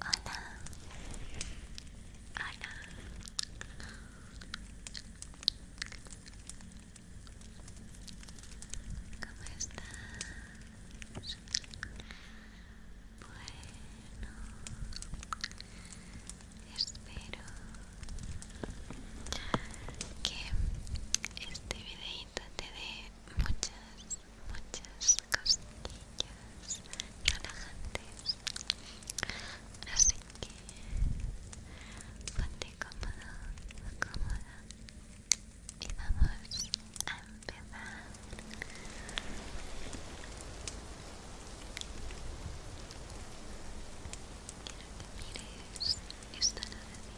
Hola. Hola. ¿Cómo estás? Bueno, espero que este video quítate de muchas, muchas costillas relajantes. Así que ponte cómodo, cómoda y vamos a empezar. Quiero que mires esta vida.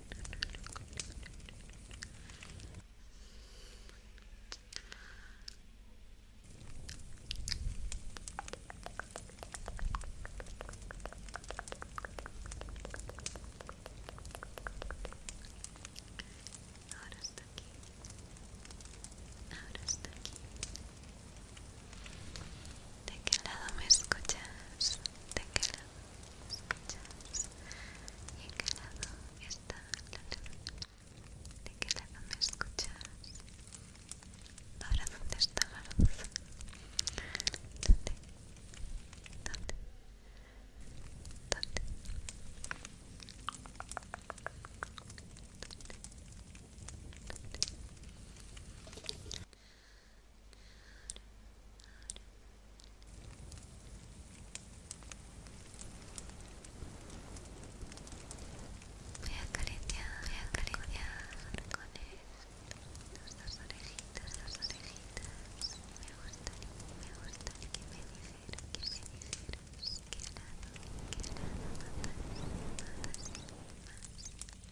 Ahora está aquí. Ahora está aquí. ¿De qué lado me escuchas? ¿De qué lado? escuchas y en qué está la de qué lado me escuchas ahora dónde está la luz dónde dónde dónde Voy a calentear, voy a calentear con esto. Las orejitas, las orejitas. Me gustaría, me gustaría que me dijeras, que me dijeras. Que helado, que helado, fantasía, fantasía, fantasía.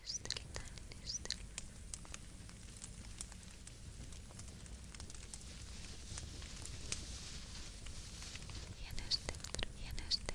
Lannister, Y en este y en este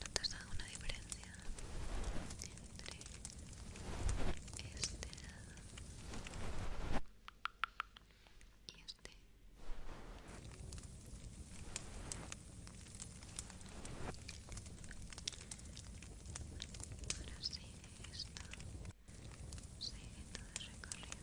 ¿No te has dado una diferencia entre este lado y este? Ahora sigue esto, sigue todo el recorrido.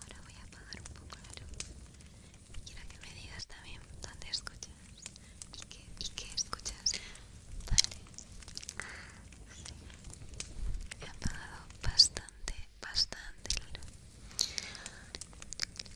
Ahora voy a apagar un poco la luz. Quiero que me digas también dónde escuchas y qué, escuchas. Vale. He apagado bastante, bastante la luz.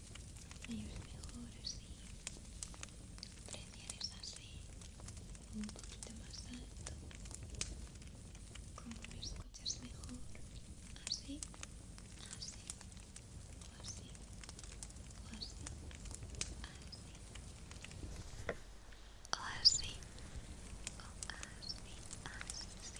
ellos mejor así prefieres así un poquito más alto como me escuchas mejor así así o así o así así o así o así así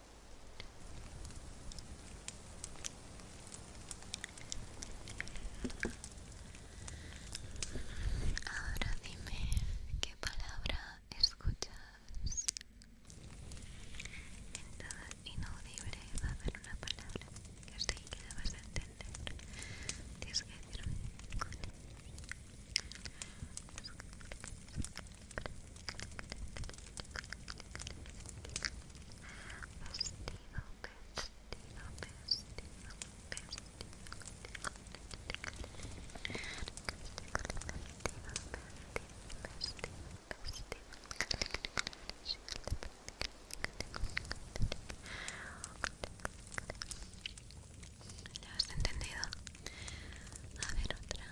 Ahora dime qué palabra escuchas. En todo inaudible va a haber una palabra que así que la vas a entender. Tienes que vestido, ¿Ya has entendido? A ver otra.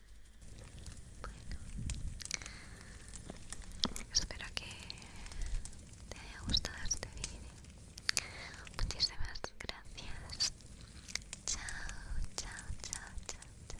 espero que te haya gustado este vídeo. Muchísimas gracias. chao, chao, chao, chao. chao.